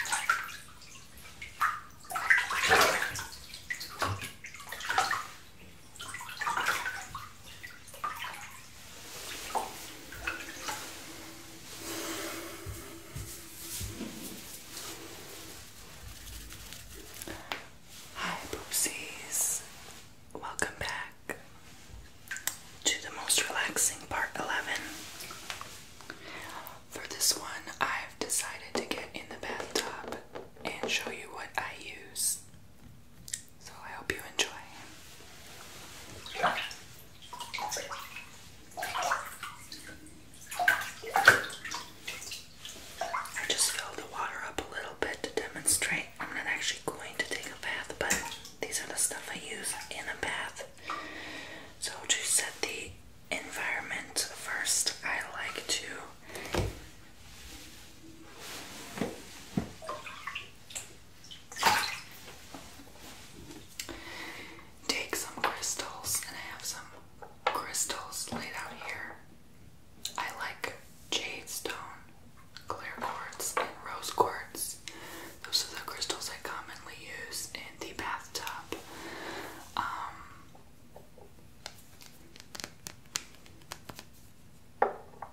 Hi, Boopsies. Welcome back to the most relaxing part 11 for this one, I've decided to get in the bathtub and show you what I use. So I hope you enjoy. I just filled the water up a little bit to demonstrate. I'm not actually going to take a bath, but these are the stuff I use in a bath. So to set the environment first, I like to take some crystals and I have some crystals laid out here. I like jade stone, clear quartz, and rose quartz. Those are the crystals I commonly use in the bathtub. Um,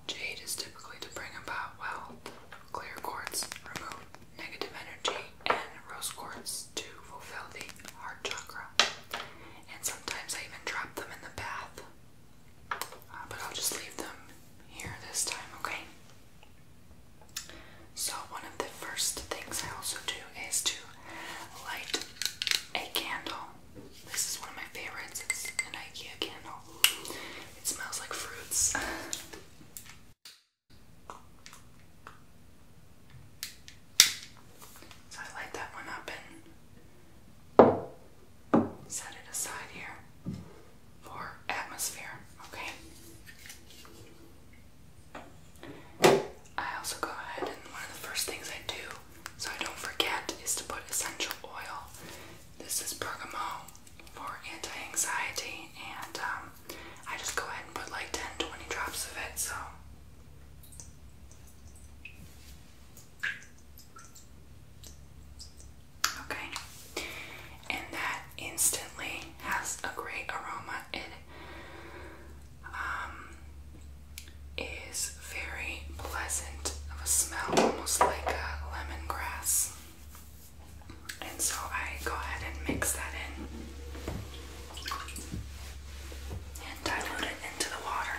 jade is typically to bring about wealth, clear quartz, remove negative energy, and rose quartz to fulfill the heart chakra. And sometimes I even drop them in the bath. Uh, but I'll just leave them here this time, okay? So, one of the first things I also do is to light a candle. This is one of my favorites. It's an IKEA candle. It smells like fruits. So, I light that one up and set it aside here for atmosphere. Okay. I also go ahead and one of the first things I do so I don't forget is to put essential oil. This is bergamot for anti-anxiety and um, I just go ahead and put like 10-20 drops of it so Okay, and that instantly has a great aroma. It um, very pleasant of a smell, almost like a lemongrass. And so I go ahead and mix that in and dilute it into the water.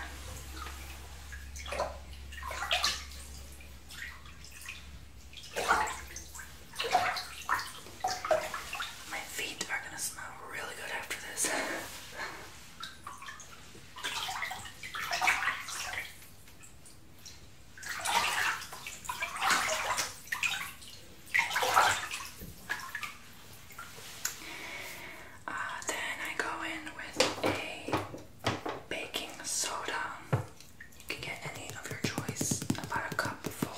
My feet are gonna smell really good after this. Uh, then I go in with a baking soda. You can get any of your choice, about a cup full.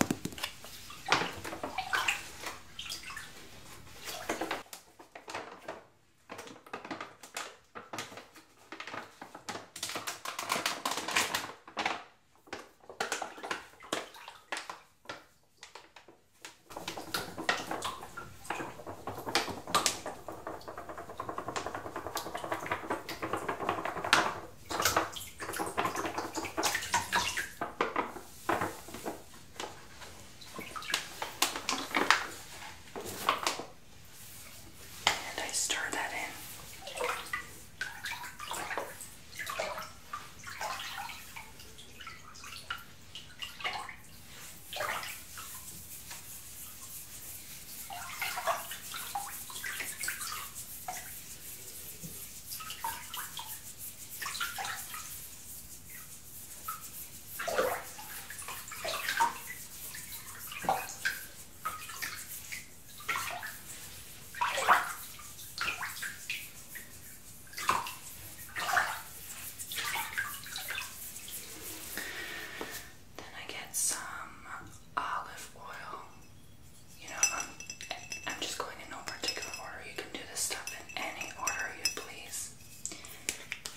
And I stir that in. Then I get some olive oil you know, um, I'm just going in no particular order. You can do this stuff in any order you please.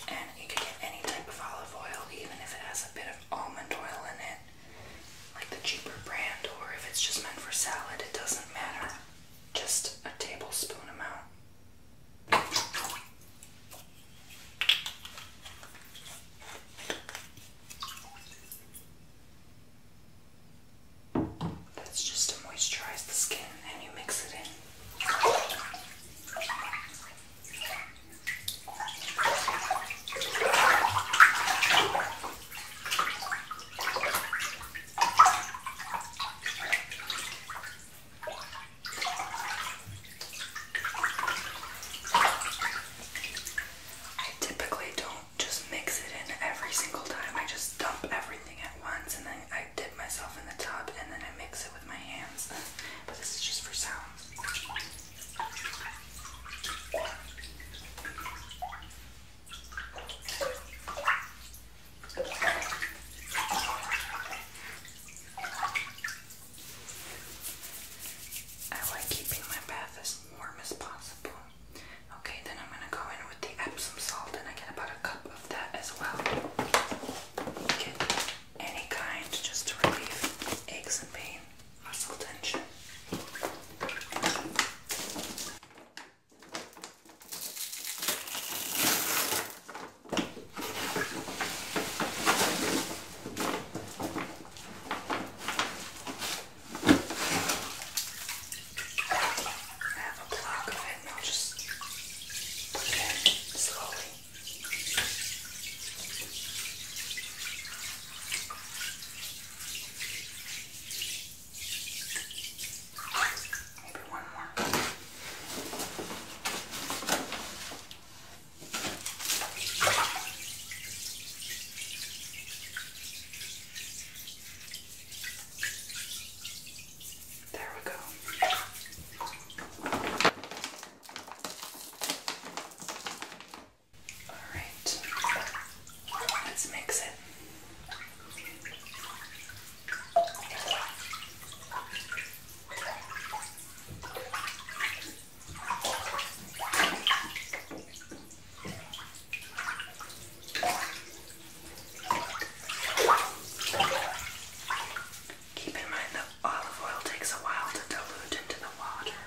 And you can get any type of olive oil, even if it has a bit of almond oil in it, like the cheaper brand, or if it's just meant for salad, it doesn't matter. Just a tablespoon amount. That's just to moisturize the skin and you mix it in. I typically don't just mix it in every single time. I just dump everything at once and then I dip myself in the tub and then I mix it with my hands. But this is just for sounds. I like keeping my bath as warm as possible. Okay, then I'm gonna go in with the Epsom salt and I get about a cup of that as well. any kind just to relieve aches and pain, muscle tension. I have a block of it and I'll just put it in slowly. Maybe one more. There we go. Alright, let's mix it. Keep in mind that olive oil takes a while to dilute into the water.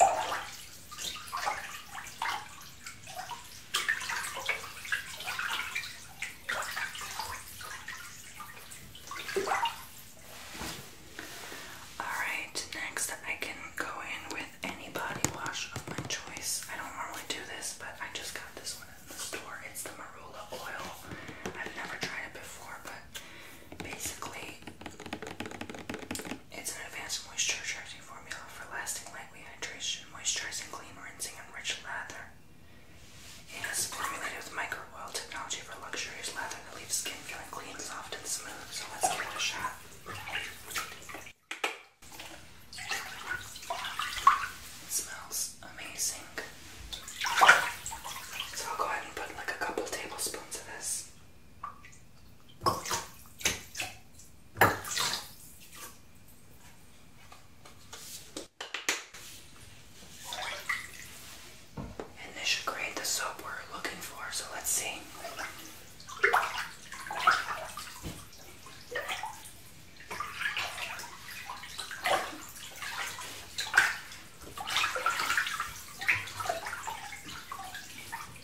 Alright, next I can go in with any body wash of my choice. I don't normally do this, but I just got this one at the store. It's the Marula oil. I've never tried it before, but basically it's an advanced moisturizing formula for lasting lightweight hydration, moisturizing, clean rinsing, and rich lather. It is formulated with micro oil technology for luxurious lather that leaves skin feeling clean, soft, and smooth. So let's give a shot. It smells amazing. So I'll go ahead and put like a couple tablespoons of this and this should create the soap we're looking for, so let's see.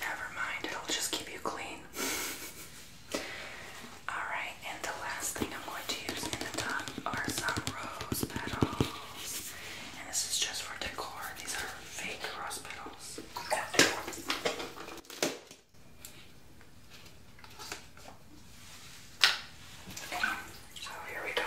Never mind, it'll just keep you clean. Alright, and the last thing I'm going to use in the tub are some rose petals. And this is just for decor, these are fake rose petals. so here we go.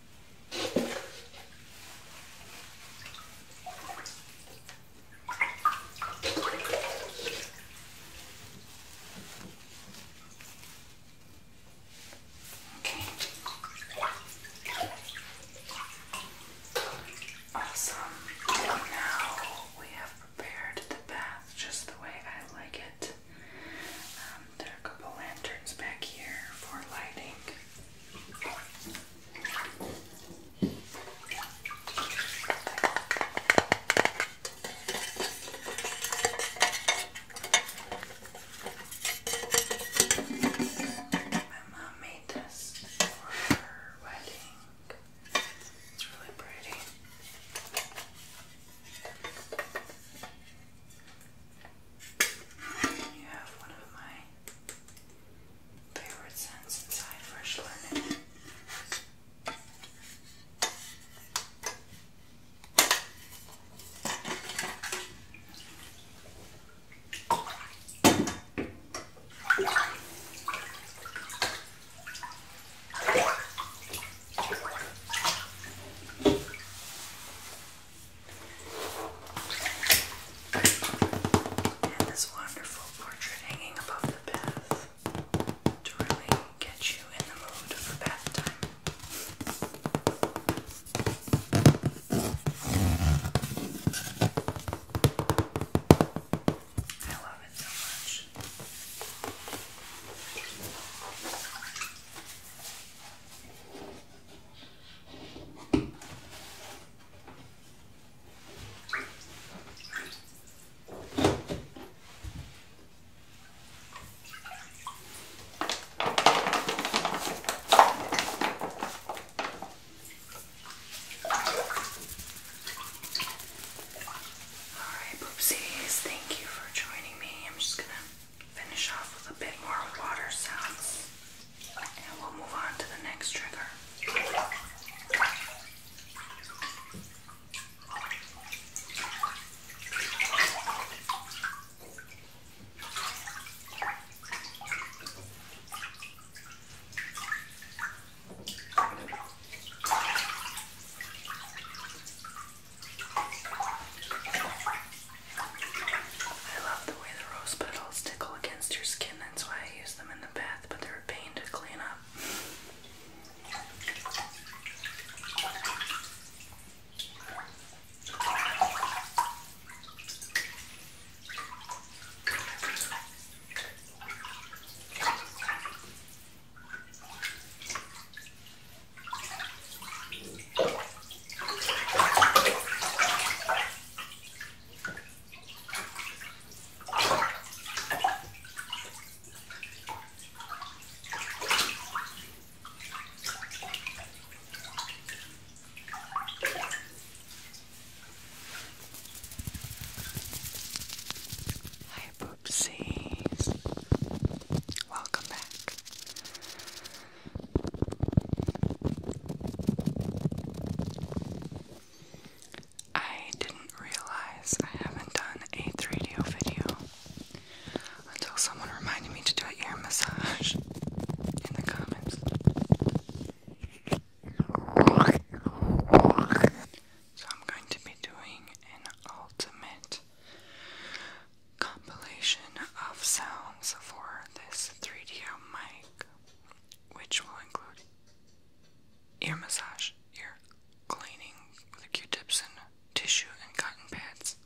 Awesome. now we have prepared the bath just the way I like it. Um, there are a couple lanterns back here for lighting. My mom made this for her wedding. It's really pretty. You have one of my favorite scents inside Fresh Linen. And this wonderful portrait hanging above the bath to really get you in the mood for bath time. I love it so much. Alright, poopsies, thank you for joining me. I'm just gonna finish off with a bit more water sounds. And we'll move on to the next trigger. I love the way the rose petals tickle against your skin, that's why I use them in the bath, but they're a pain to clean up. Hi, poopsies. Welcome back. I didn't realize I haven't done a 3DO video until someone reminded me to do a ear massage in the comments. So I'm going to be doing an ultimate compilation of sounds for this 3DO mic which will include ear massage, ear cleaning with Q-tips and tissue and cotton pads,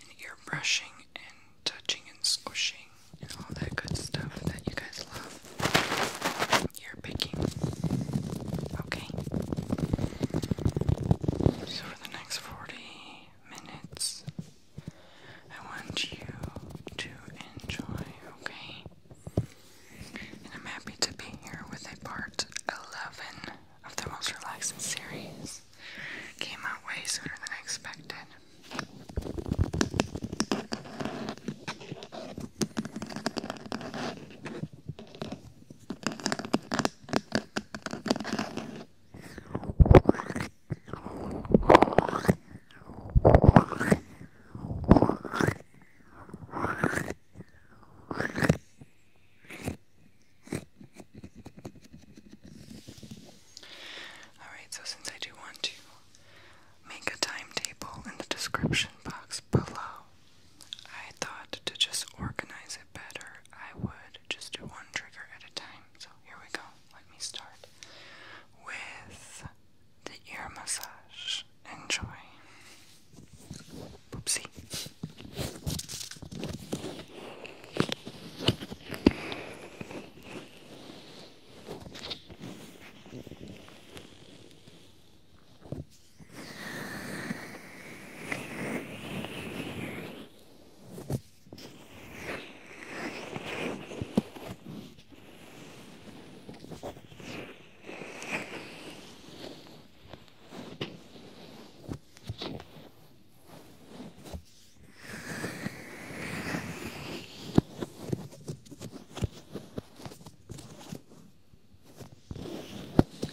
and ear brushing and touching and squishing and all that good stuff that you guys love. Ear picking. Okay. So for the next 40 minutes, I want you to enjoy, okay? And I'm happy to be here with a part 11 of the most relaxing series. Came out way sooner than I expected. Alright, so since I do want to make a timetable in the description box below, I thought to just organize it better, I would just do one trigger at a time. So here we go. Let me start with the ear massage. Enjoy. Oopsie.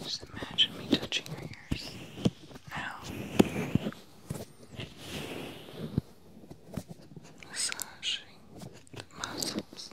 Just imagine me touching your ears now massaging the muscles.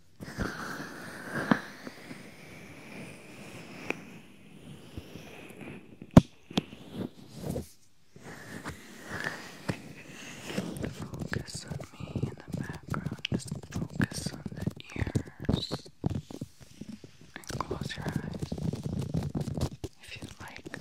Focus on me in the background. Just focus on the ears and close your eyes if you like.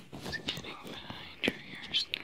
It's getting behind your ears now.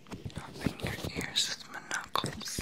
Rubbing your ears with my knuckles.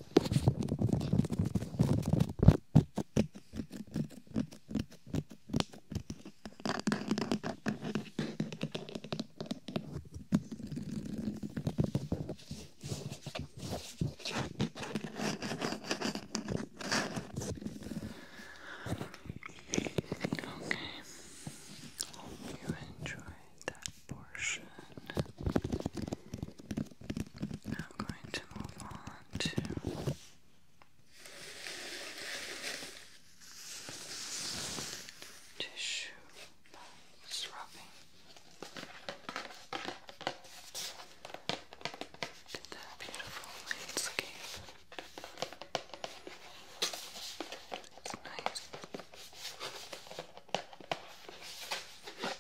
Okay. Hope you enjoyed that portion. Now going to move on to tissue rubbing. Did that beautiful landscape. It's nice.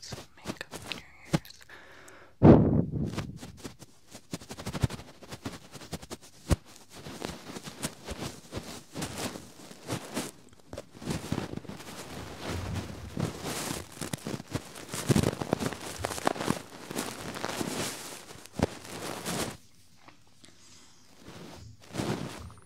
some makeup in your ears. Okay.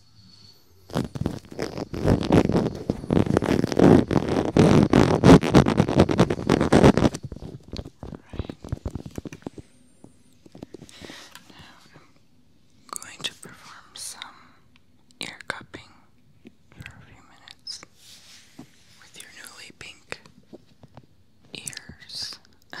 Now I'm going to perform some ear cupping for a few minutes with your newly pink ears.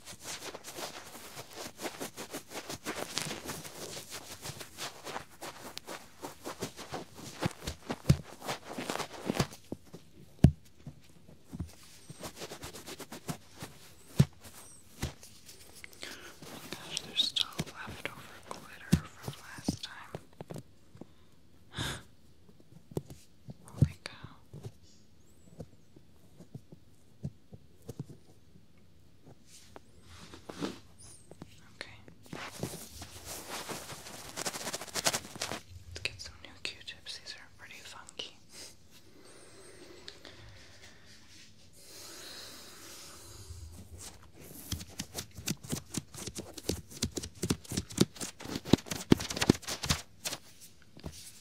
Oh gosh, there's still leftover glitter from last time. Holy cow. Okay. Let's get some new Q-tips. These are pretty funky.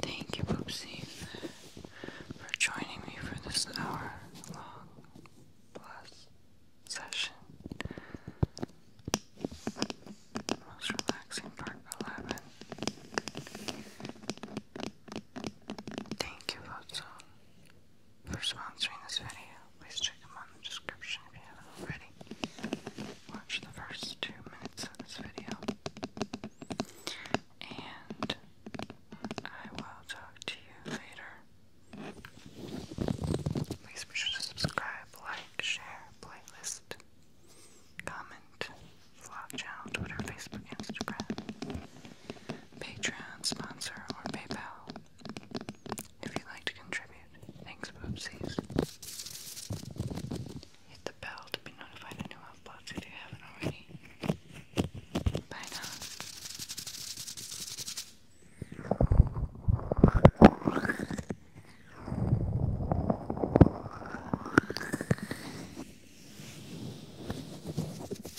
Thank you, Poopsie, for joining me for this hour long plus session. Most relaxing part 11. Thank you, Watson for sponsoring this video. Please check them out in the description if you haven't already. Watch the first two minutes of this video. And I will talk to you later. Please be sure to subscribe, like, share, playlist, comment, vlog channel, Twitter, Facebook, Instagram, Patreon, sponsor, or PayPal. If you'd like to contribute, thanks, Boopsies. Hit the bell to be notified of new uploads if you haven't already. Bye now.